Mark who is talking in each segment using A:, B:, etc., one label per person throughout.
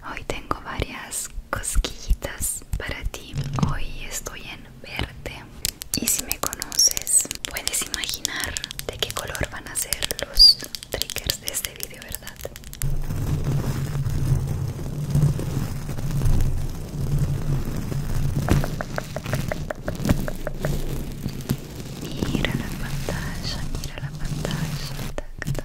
A: Hoy tengo varias cosquillitas para ti. Hoy estoy en verde. Y si me conoces, puedes imaginar de qué color van a ser los triggers de este vídeo, ¿verdad? Mira la pantalla, mira la pantalla. Tac,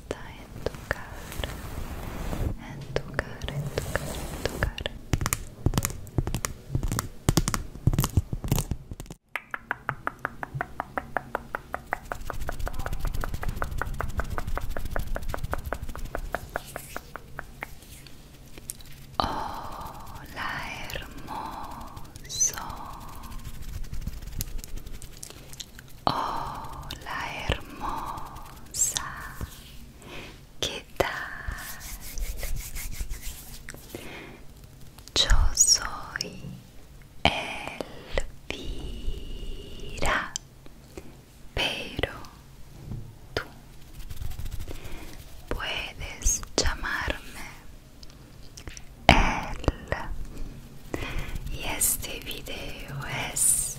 A: está en tu cara, en tu cara, en tu cara, en tu cara. hermoso Hola oh, hermosa, ¿qué tal? Yo soy Elvira, pero tú puedes llamarme él y este video es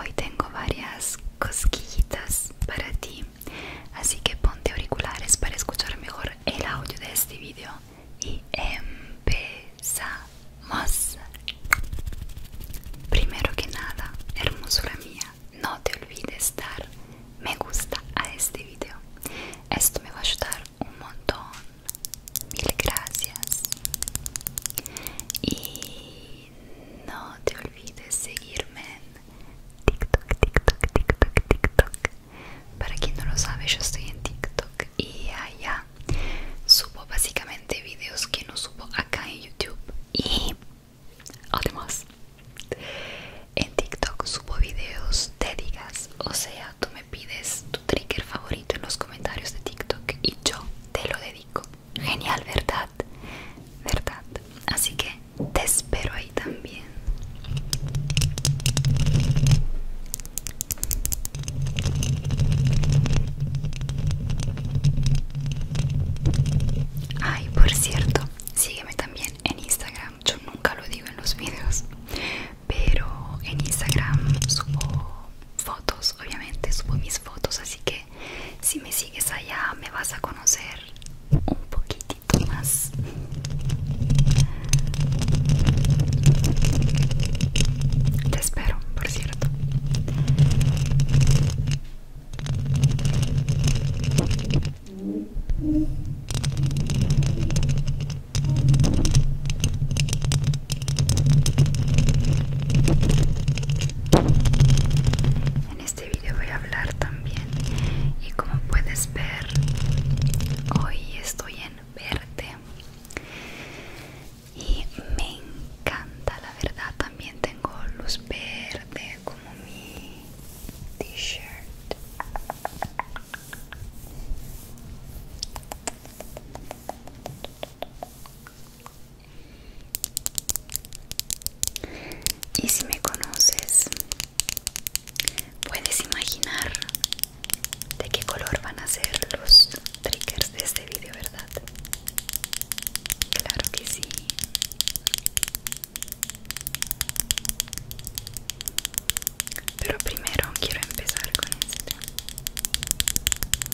A: Hoy tengo varias cosquillitas para ti, así que ponte auriculares para escuchar mejor el audio de este video y empezamos. Primero que nada, hermosura mía, no te olvides dar me gusta a este video Esto me va a ayudar un montón. Mil gracias. Y no te olvides seguirme en TikTok, TikTok, TikTok, TikTok. Para quien no lo sabe, yo estoy en TikTok y allá subo básicamente videos que no subo acá en YouTube. Y además, en TikTok subo videos dedicas o sea, tú me pides tu trigger favorito en los comentarios de TikTok y yo te lo dedico. Genial, ¿verdad? ¿Verdad? Así que te espero ahí también. Ay, por cierto, sígueme también en Instagram. Yo nunca lo digo en los videos, pero en Instagram subo fotos, obviamente subo mis fotos, así que si me sigues allá me vas a conocer un poquitito más. Te espero, por cierto. En este video voy a hablar también y como puedes ver hoy estoy en verde y me encanta la verdad también tengo luz verde como mi t-shirt y si me conoces, puedes imaginar de qué color van a ser los triggers de este vídeo, ¿verdad? Claro que sí. Pero primero quiero empezar con este.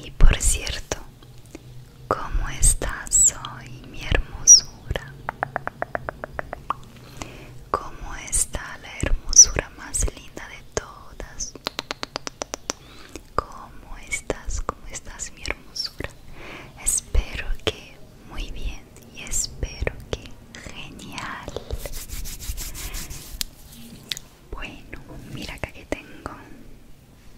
A: Y por cierto, ¿Cómo estás hoy, mi hermosura? ¿Cómo está la hermosura más linda de todas? ¿Cómo estás? ¿Cómo estás, mi hermosura? Espero que muy bien y espero que genial. Bueno, mira acá que tengo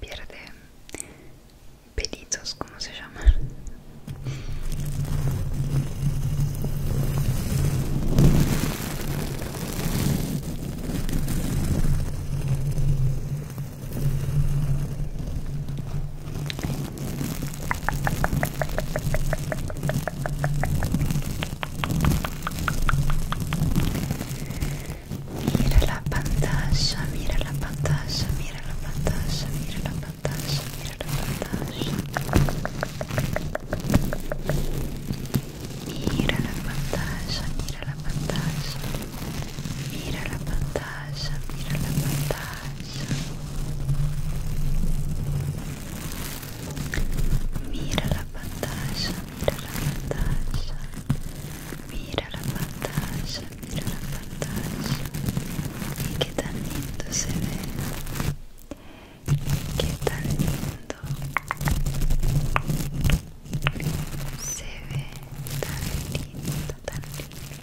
A: pierde pelitos como se llama Mira la pantalla, mira la pantalla, mira la pantalla, mira la pantalla, mira la pantalla. Mira la pantalla, mira la pantalla. Mira la pantalla, mira la pantalla. Mira la pantalla, mira la pantalla. Mira la pantalla, mira la pantalla. Y qué tan lindo se ve. Qué tan lindo. Se ve tan lindo, tan lindo.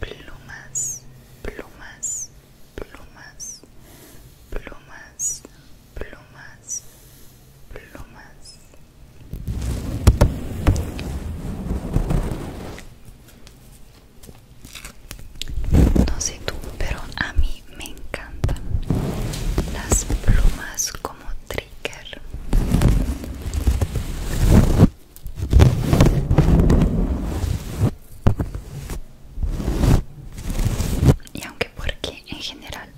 A: Plumas, Plumas, plumas, plumas, plumas, plumas, plumas. No sé tú, pero a mí me encantan las plumas como y aunque porque en general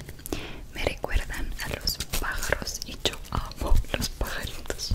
A: me recuerdan a los pájaros y yo amo los pajaritos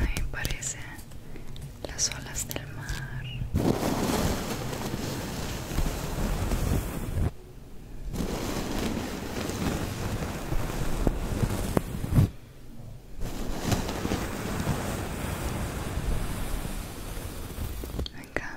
A: Ay, parecen las olas del mar.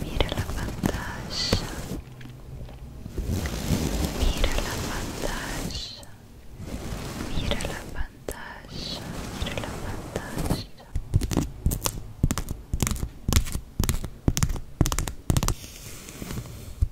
A: Mira la pantalla. Mira la pantalla. Mira la pantalla. Mira la pantalla.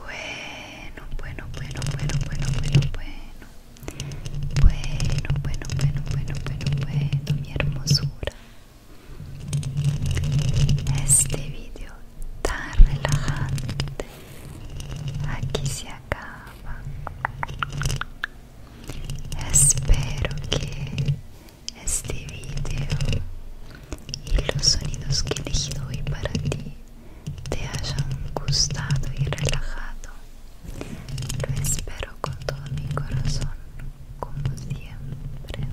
A: Bueno, bueno, bueno, bueno, bueno, bueno, bueno. Bueno, bueno, bueno, bueno, bueno, bueno, mi hermosura. Este vídeo tan relajante aquí se acaba. Espero que este video y los sonidos que he elegido hoy para ti te hayan gustado y relajado. Lo espero con todo mi corazón, como siempre.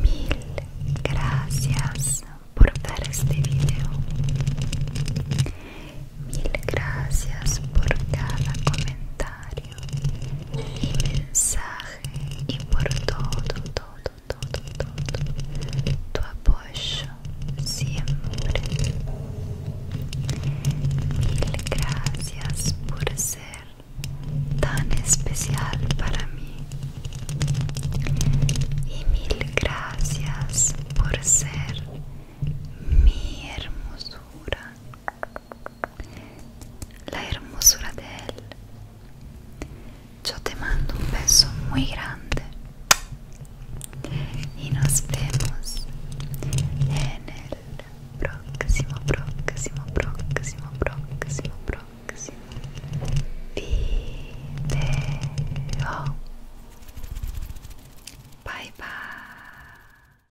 A: Mil gracias por ver este video. Mil gracias por cada comentario mensaje y por todo, todo, todo, todo tu apoyo siempre. Mil gracias por ser tan especial para mí y mil gracias por ser mi hermosura la hermosura de él. Yo te mando un beso muy grande y nos vemos en el próximo, próximo, próximo, próximo, próximo video. Bye bye.